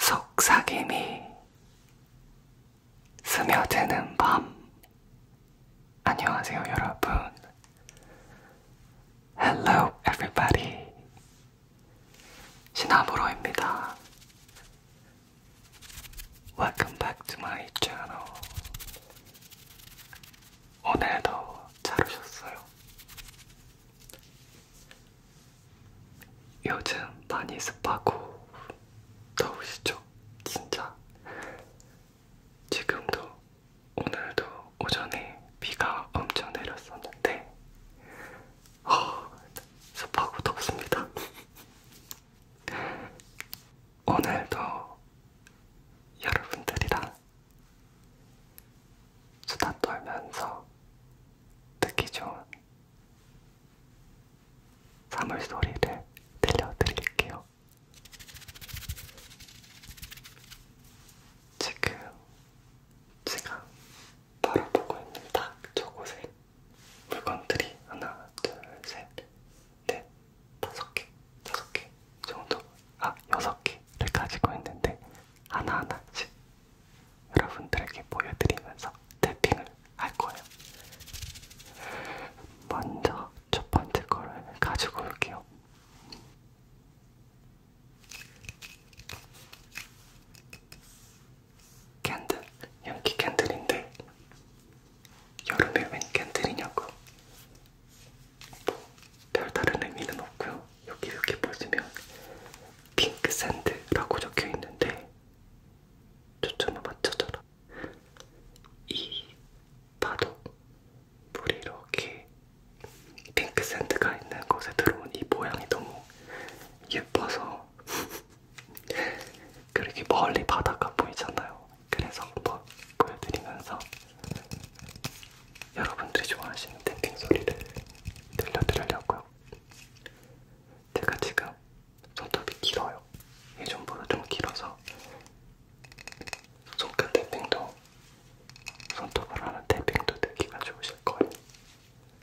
속삭임이 스며드는 밤. 안녕하세요, 여러분. Hello, everybody. 시나브로입니다. Welcome back to my channel. 오늘도 잘 오셨어요. 요즘 많이 습하고 더우시죠? 진짜. 지금도 오늘도 오전에 비가 엄청 내렸었는데 어, 습하고 덥습니다. 오늘도 여러분들이랑 수다 떨면서 듣기 좋은 사물 소리를 들려드릴게요. 지금 제가 바라보고 있는 딱두 곳에 물건들이 하나, 둘, 셋, 넷, 다섯 개, 다섯 개 정도, 아, 여섯 개를 가지고 있는데 하나하나씩 여러분들에게 보여드리면서 탭핑을 할 거예요. 먼저 첫 번째 거를 가지고 올게요. 캔들, 연기 캔들인데 여름에 웬 캔들이냐고 뭐 별다른 의미는 없고요 여기 이렇게 보시면 핑크 샌드라고 적혀있는데 초점을 맞춰줘라 이 파도 물이 이렇게 핑크 샌드가 있는 곳에 들어온 이 모양이 너무 예뻐서 그렇게 멀리 바다가 보이잖아요. 그래서 한번 보여드리면서 여러분들이 좋아하시는 땡땡 소리를 들려드리려고요. 제가 지금 손톱이 길어요. 예전보다 좀 길어서 손끝 탭핑도 손톱을 하는 탭핑도 듣기가 좋으실 거예요.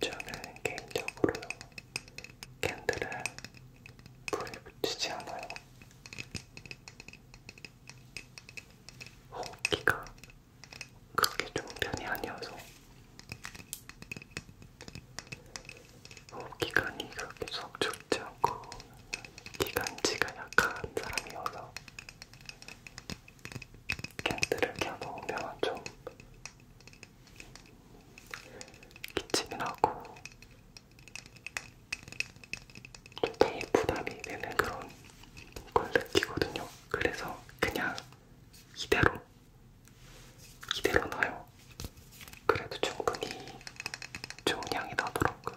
저는 개인적으로 캔들을 불에 붙이지 않아요. 호흡기가 그렇게 좋은 편이 아니어서 호흡기관이 그렇게 썩 좋지 않고 기관지가 약한 사람이어서 캔들을 켜놓으면 좀 기침이 나고 되게 부담이 되는 그런 걸 느끼거든요. 그래서 그냥 이대로 이대로 놔요. 그래도 충분히 좋은 향이 나더라고요.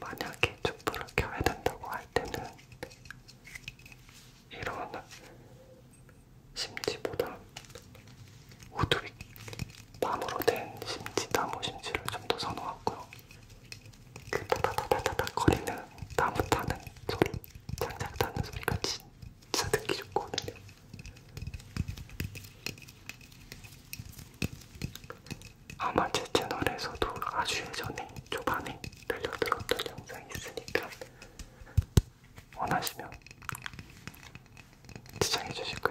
만약에 촛불을 켜야 된다고 할 때는 이런 심지보다 우드윅 밤으로 된 심지, 나무 심지를 좀 더 선호하고요. 그 타다다다다닥 거리는 나무 타는 소리, 장작 타는 소리가 진짜 듣기 좋거든요. 아마 제 채널에서도 아주 예전에 초반에 들려드렸던 영상이 있으니까 원하시면 시청해 주시고요.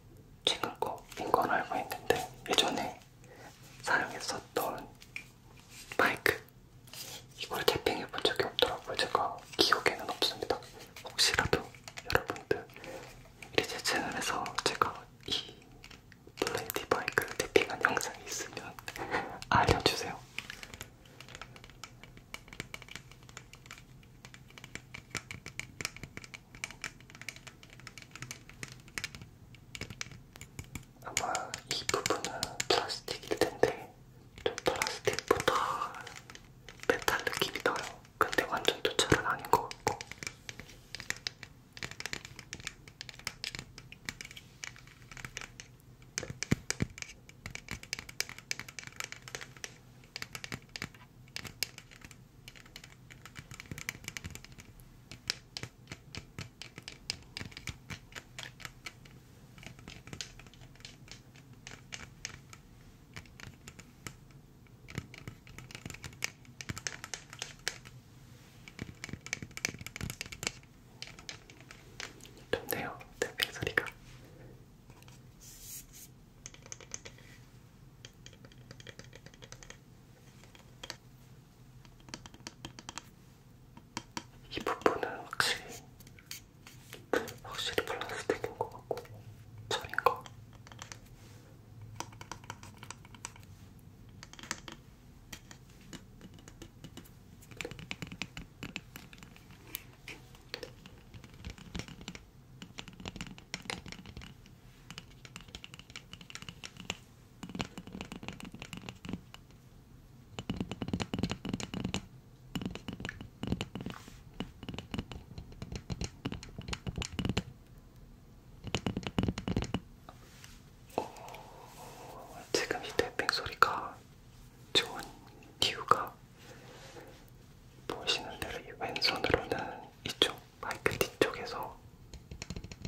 최근 거인 건 알고 있는데 예전에 사용했었던 마이크 이걸 재핑해 본 적이 없더라고요. 제가 기억에는 없습니다. 혹시라도 여러분들 우리 제 채널에서 제가 이 블레이디 마이크를 재핑한 영상이 있으면 알려주세요. 아마 이 부분은 플라스틱일 텐데 좀 플라스틱보다 메탈 느낌이 나요. 근데 완전 도철은 아닌 것 같고. 좋네요. 땡땡 네, 네, 소리가. 이 부분은 확실히 확실히 플라스틱인 것 같고 철인 거. 어, 지금 이 태핑 소리가 좋은 이유가 보시는 대로 이 왼손으로는 이쪽 마이크 뒤쪽에서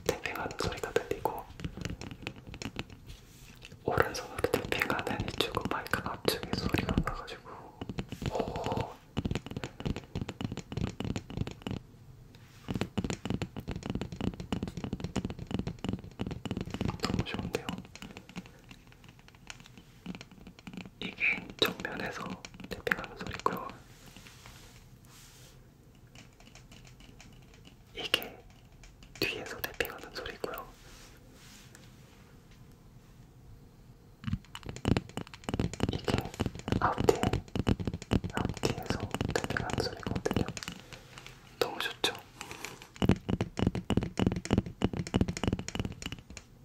탭핑하는 소리가 들리고 오른손으로 탭핑하는 이쪽은 마이크 앞쪽에 소리가 나가지고 오 너무 좋은데요. 이게 정면에서 탭핑하는 소리고요. 이게 뒤에서 탭핑하는 소리고요. 이게 앞뒤, 앞뒤에서 탭핑하는 소리거든요. 너무 좋죠?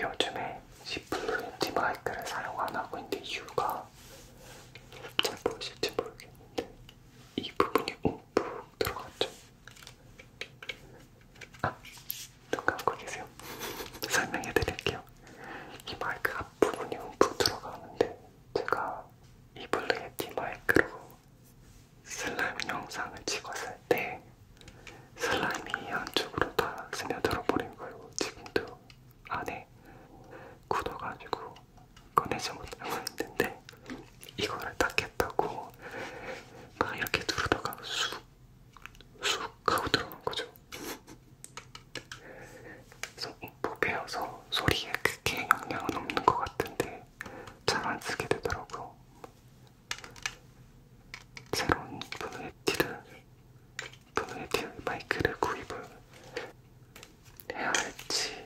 요즘에 지플루인티 마이크를 사용 안 하고 있는 이유가 잘 보이실지 모르겠는데 이 부분이 움푹 들어갔죠? 아, 눈 감고 계세요? 설명해 드릴게요. 이 마이크 앞부분이 움푹 들어가는데 제가 이 블루예티 마이크로 슬라임 영상을 찍었을 때 슬라임이 안쪽으로 다 스며들어 버린 거예요. 지금도 안에 되게 굳어가지고 꺼내지 못하고 있는데 이거를 닦겠다고 막 이렇게 누르다가 쑥, 쑥 하고 들어간 거죠. 그래서 목베어서 소리에 크게 영향은 없는 것 같은데 잘 안 쓰게 되더라고요. 새로운 분의 티를 동일필 마이크를 구입을 해야 할지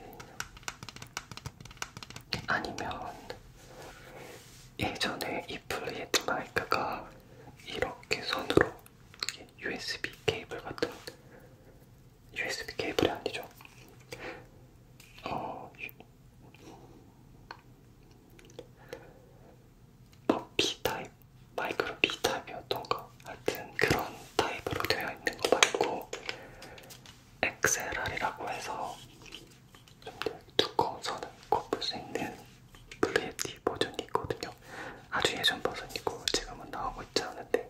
아니면 예전에 이플리에트 마이크가 이렇게 선으로 USB 케이블 같은 USB 케이블이 아니죠. 어, 버피 타입 마이크로 B 타입이었던가 하여튼 그런 타입으로 되어 있는 거 말고 XLR이라고 해서 좀 더 두꺼워서는 꼽을 수 있는 블루예티 버전이 있거든요. 아주 예전 버전이고 지금은 나오고 있지 않은데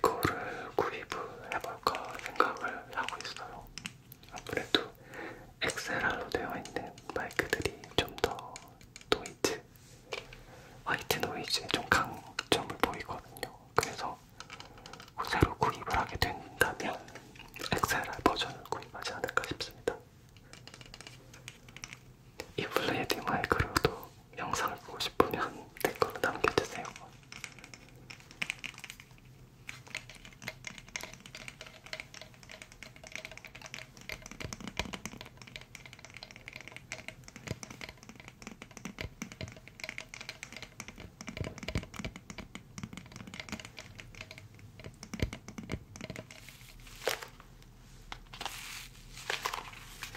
그거를 구입을 해볼까 생각을 하고 있어요. 아무래도 엑스라로 되어 있는 마이크들이 좀 더 노이즈, 화이트 노이즈에 좀 강점을 보이거든요. 그래서 뭐 새로 구입을 하게 된다면 엑스라 버전을 구입하지 않을까 싶습니다. 이 블레이디 마이크로도 영상을 보고 싶으면 댓글로 남겨주세요.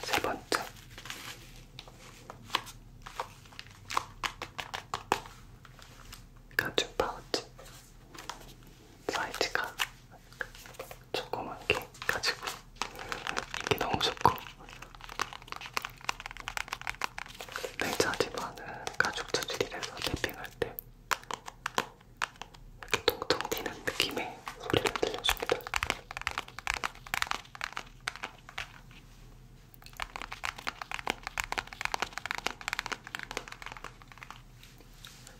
세 번째. 가죽 파우치 사이즈가 조그만 게 가지고 이게 너무 좋고 냉차지만은 가죽 재질이라서 탭핑할 때 이렇게 통통 튀는 느낌의 소리를 들려줍니다.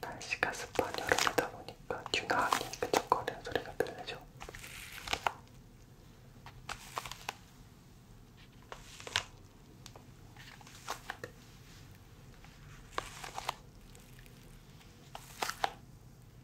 날씨가 습한 여름이다 보니까 균화하게 끈적거리는 소리가 들리죠.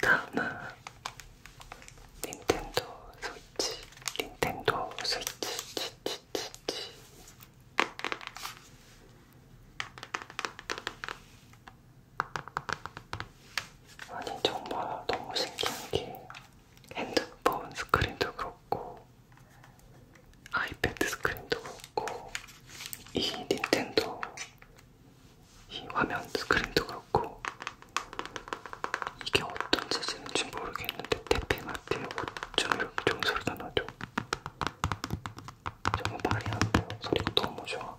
다음은 닌텐도 스위치, 닌텐도 스위치, 치치치치. 아니 정말 너무 신기한 게 핸드폰 스크린도 그렇고 아이패드 스크린도 그렇고 이 닌텐도 이 화면 스크린도 그렇고 이게 어떤 재질인지 모르겠는데 태핑할 때어쩜 이렇게 좋은 소리가 나죠? 정말 말이 안 돼요. 소리가 너무 좋아.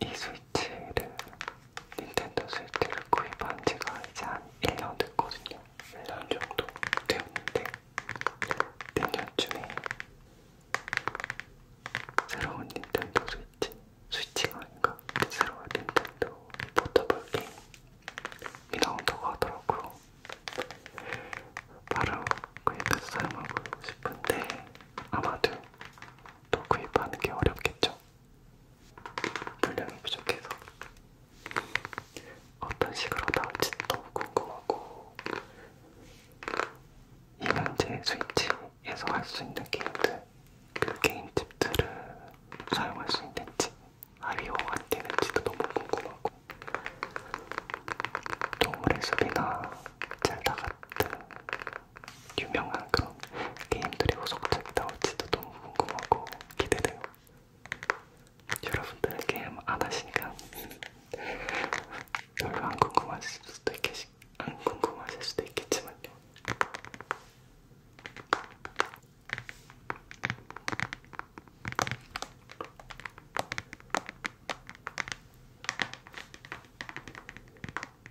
이 스위치를 닌텐도 스위치를 구입한 지가 이제 한 1년 됐거든요. 1년 정도 되었는데 내년쯤에 새로운 닌텐도 스위치, 스위치가 아닌가? 새로운 닌텐도 포터블 게임이 나온다고 하더라고요. 바로 구입해서 사용하고 싶은데 아마도 또 구입하는 게 어렵겠죠. 물량이 부족해서 어떤 식으로 나올지 너무 궁금하고 이 현재 스위치에서 할 수 있는 게임들 그 게임집들을 사용할 수 있는지 아이오가 되는지도 너무 궁금하고 동물의 숲이나 젤다 같은 유명한 그런 게임들이 후속작이 나올지도 너무 궁금하고 기대돼요. 여러분들 게임 안 하시니까 별로 안 궁금하실 수도 있겠, 안 궁금하실 수도 있겠지만요.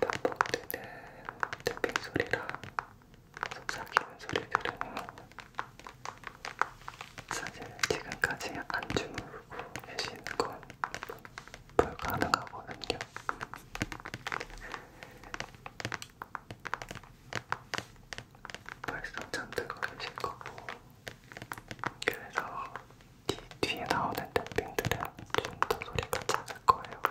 반복되는 탭핑 소리랑 속삭이는 소리 들으면 사실 지금까지 안 주무르고 계시는 건 불가능하거든요. 벌써 잠들고 계실 거고 그래서 뒤, 뒤에 나오는 탭핑들은 좀 더 소리가 작을 거예요.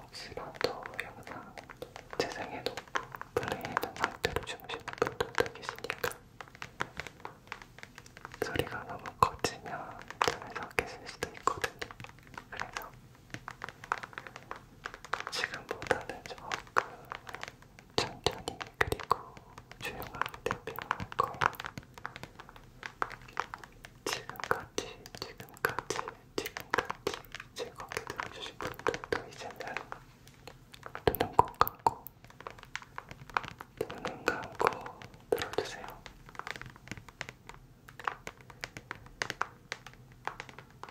혹시라도 영상 재생해도 플레이해둔 상태로 주무시는 분들도 계시니까 소리가 너무 커지면 잠에서 깨질 수도 있거든요. 그래서 지금보다는 조금 천천히 그리고 조용하게 대표할 거예요. 지금까지, 지금까지, 지금까지 즐겁게 들어주신 분들도 이제는 눈은 꼭 감고, 눈은 감고 들어주세요.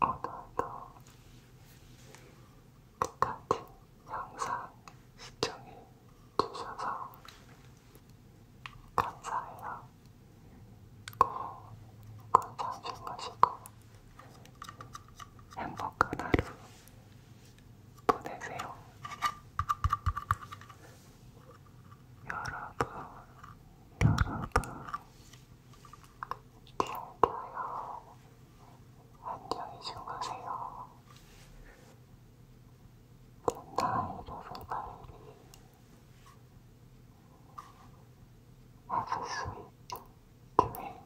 오늘도 끝까지 영상 시청해 주셔서 감사해요. 꼭 꼭 잠시 그 마시고 행복한 하루 보내세요. 여러분, 여러분, 잘 가요. 안녕히 주무세요. 굿나잇 에브리바디. Have a sweet dream.